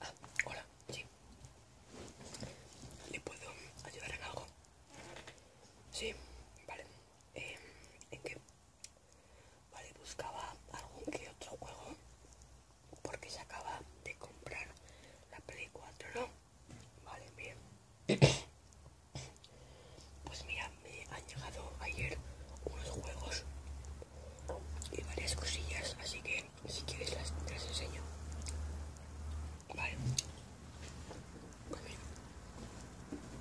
Ah, hola, sí. ¿Le puedo ayudar en algo? Sí, vale. Eh, ¿En qué? Vale, buscaba algún que otro juego porque se acaba de comprar la Play 4, ¿no? Vale, bien. Pues mira, me han llegado ayer unos juegos y varias cosillas, así que si quieres las, te enseño. Vale. Pues mira,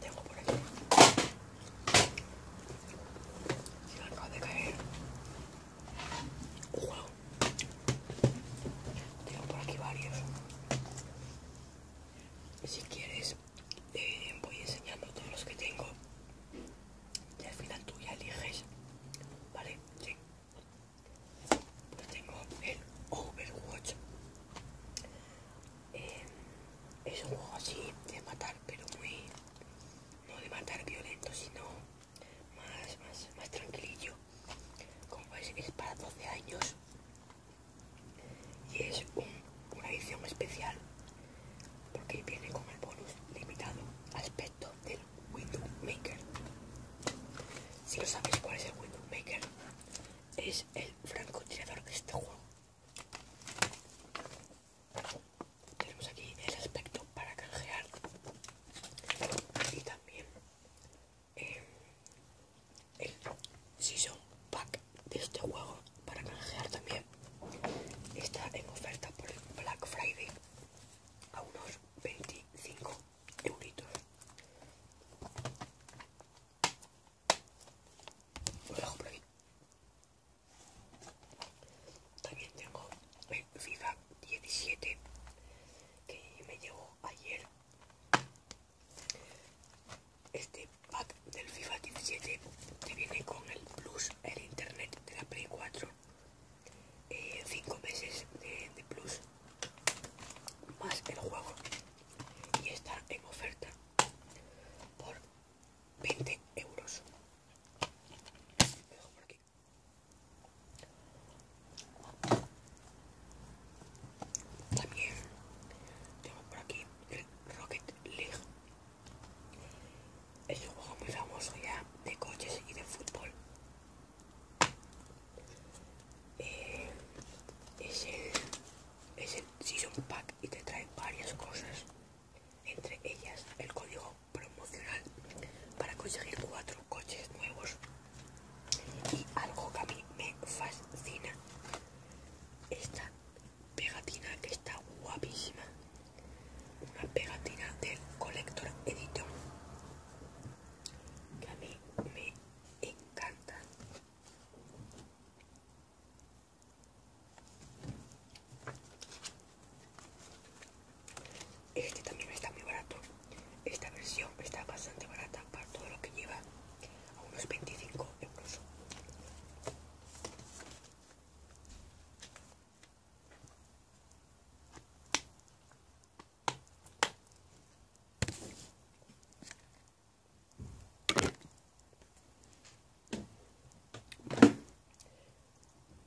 tengo por aquí. Se me acaba de caer un juego. Tengo por aquí varios. Si quieres voy enseñando todos los que tengo y al final tú ya eliges vale tengo el Overwatch em, es un juego así de matar pero muy no de matar violento sino más más más tranquilillo como veis es para 12 años y es una edición especial porque viene con el bonus limitado aspecto del Widowmaker. Si no sabéis cuál es el Widowmaker, es el francotirador de este juego. Tenemos aquí el aspecto para canjear y también eh, el Season Pack de este juego para canjear también. Está en oferta por el Black Friday a unos 25 euros También tengo el FIFA 17 que me llegó ayer este pack del FIFA 17 que viene con el Plus, el Internet de la Play 4, 5 eh, meses de, Plus, más el juego. Y está en oferta por 20 euros. También tenemos por aquí el Rocket League. Es un juego muy famoso ya de coches y de fútbol. Eh, es, el, es el Season Pack y te trae varias cosas. Entre ellas el código promocional para conseguir cuatro coches nuevos y algo que a mí me fascina. Esta pegatina que está guapísima. Una pegatina del Collector editor. Que a mí me encanta. Este también está muy barato. Esta versión está bastante barata para todo lo que lleva, a unos 25 euros.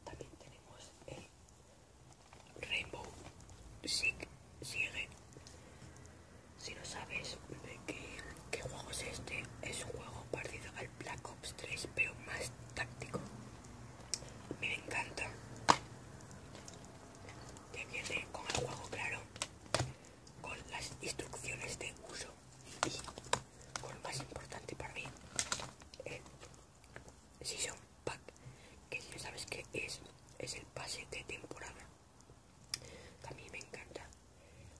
También tenemos el Rainbow Six sigue. Si no sabes qué, juego es este, es un juego partido al Black Ops 3, pero más táctico. me encanta. Ya viene con el juego, claro, con las instrucciones de uso y con lo más importante para mí, el eh, Season pack que ya sabes que es es el pase de temporada a mí me encanta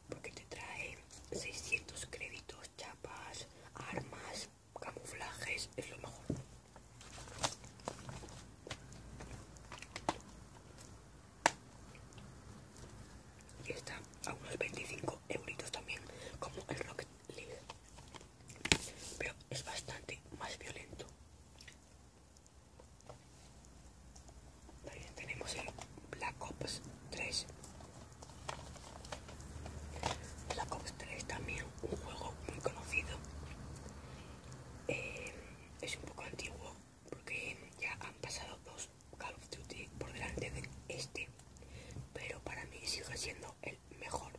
porque te trae 600 créditos chapas armas camuflajes es lo mejor y está a unos 25 euros también como el Rocket League pero es bastante más violento también tenemos el Black Ops 3. Black Ops 3 también un juego muy conocido. Eh, es un poco antiguo porque ya han pasado dos Call of Duty por delante de este, pero para mí sigue siendo el mejor.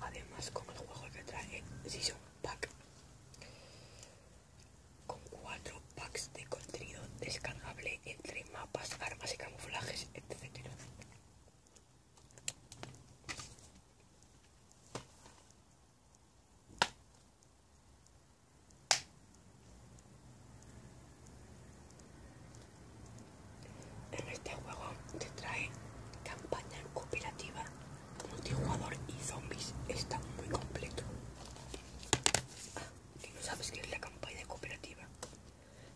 Además, con el juego que trae Season Pack, con cuatro packs de contenido descargable entre mapas, armas y camuflajes, etc. En este juego te trae campaña cooperativa, multijugador y zombies. Está muy completo. Ah, no sabes qué es la campaña cooperativa.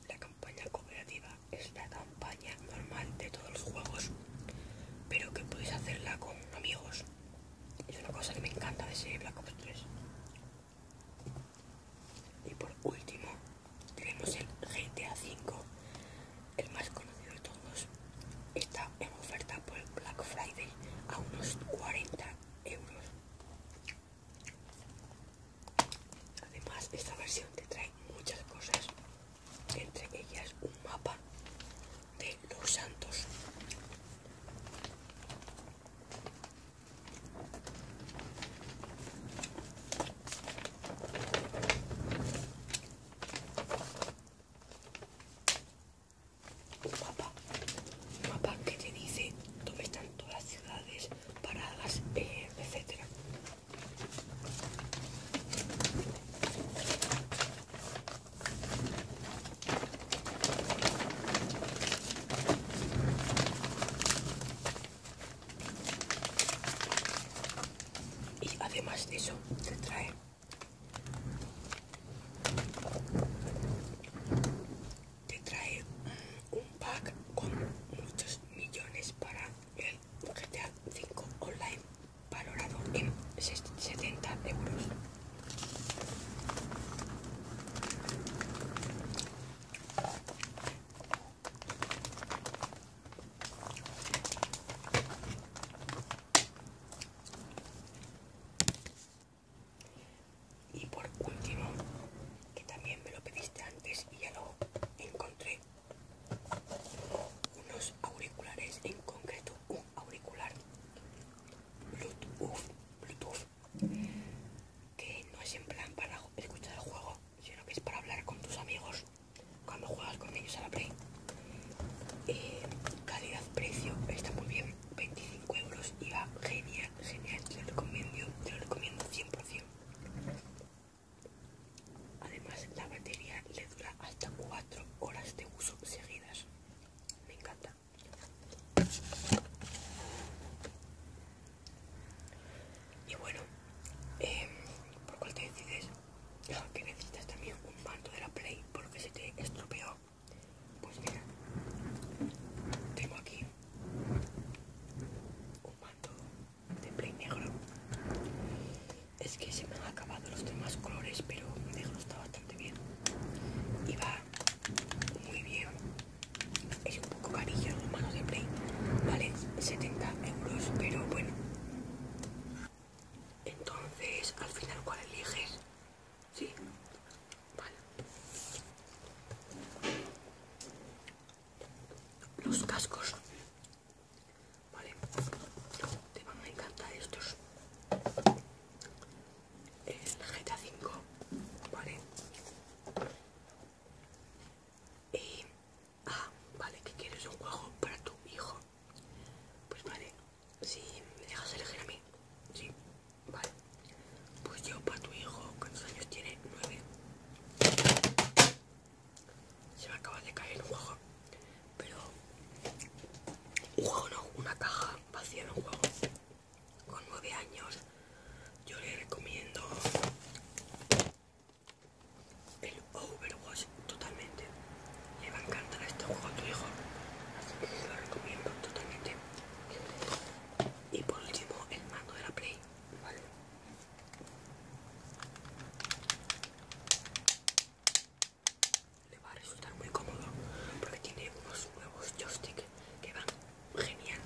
La campaña cooperativa es la campaña normal de todos los juegos, pero que puedes hacerla con amigos. Es una cosa que me encanta de ser Black Ops 3. Y por último, tenemos el GTA V, el más conocido de todos. Está en oferta por Black Friday a unos 40 euros. Además, esta versión te trae muchas cosas, entre ellas un mapa de los santos Papá, papá que te dice dónde están todas las ciudades, paradas, eh, etcétera. Y además de eso, te trae te trae un pack con muchos millones para el GTA 5 online valorado en 70 euros y por último, que también me lo pediste antes y ya lo encontré, unos auriculares, en concreto un auricular Bluetooth, que no es en plan para escuchar el juego, sino que es para hablar con tus amigos cuando juegas con ellos a la Play. Eh, Calidad-precio está muy bien, 25 euros y va genial, genial, te lo recomiendo, te lo recomiendo 100%. Además, la batería le dura hasta 4 horas de uso seguidas. Me encanta. Y bueno, por eh, ¿por cual te decides? Ah, que necesitas también un manto de la Play porque se te estropeó. Pues mira, tengo aquí un manto de Play negro. Es que se me han acabado los demás colores, pero negro está bastante bien. Y va muy bien es un poco carillo los manos de play vale 70 euros pero bueno entonces al final cuál eliges sí vale los cascos vale te van a encantar estos el GTA 5, ¿vale? Y, ah, vale, que quieres un juego para tu hijo. Pues vale, si me dejas elegir a mí, sí, vale. Pues yo para tu hijo, ¿cuántos años tiene? 9. Se me acaba de caer un juego, pero un juego no, una caja vacía de un juego con 9 años yo le recomiendo el Overwatch totalmente le va a encantar este juego a tu hijo lo recomiendo totalmente y por último el mando de la play le va a resultar muy cómodo porque tiene unos nuevos joysticks que genial.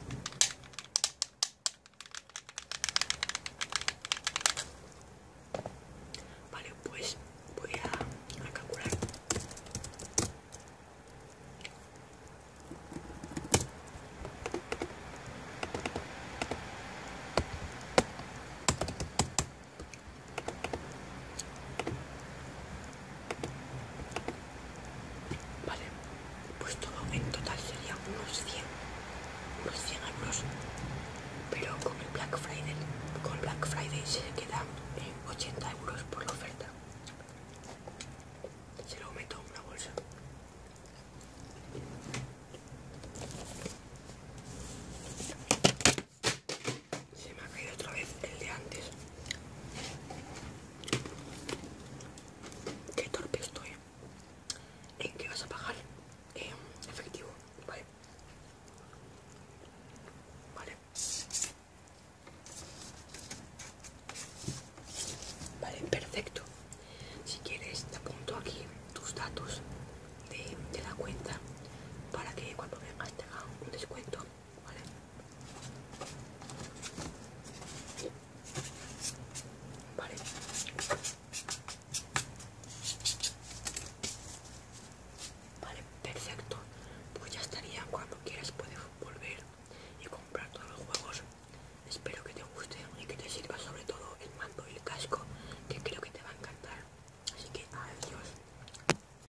Vale, pues voy a calcular. Vale, pues todo en total sería unos 100, unos 100 euros, pero con el Black Friday, con Black Friday se quedan en 80 euros por la oferta. Se lo meto en una bolsa. Se me ha caído otra vez el de antes. Qué torpe estoy. ¿En que vas a pagar? efectivo, vale. Vale. Vale, perfecto. Si quieres, te apunto aquí tus datos de, la cuenta para que cuando vengas haga un descuento ¿Vale? Vale. Vale, perfecto. Pues ya estaría. Cuando quieras puedes volver y comprar todos los juegos. Espero que te guste y que te sirva sobre todo el mando y el casco, que creo que te va a encantar. Así que adiós.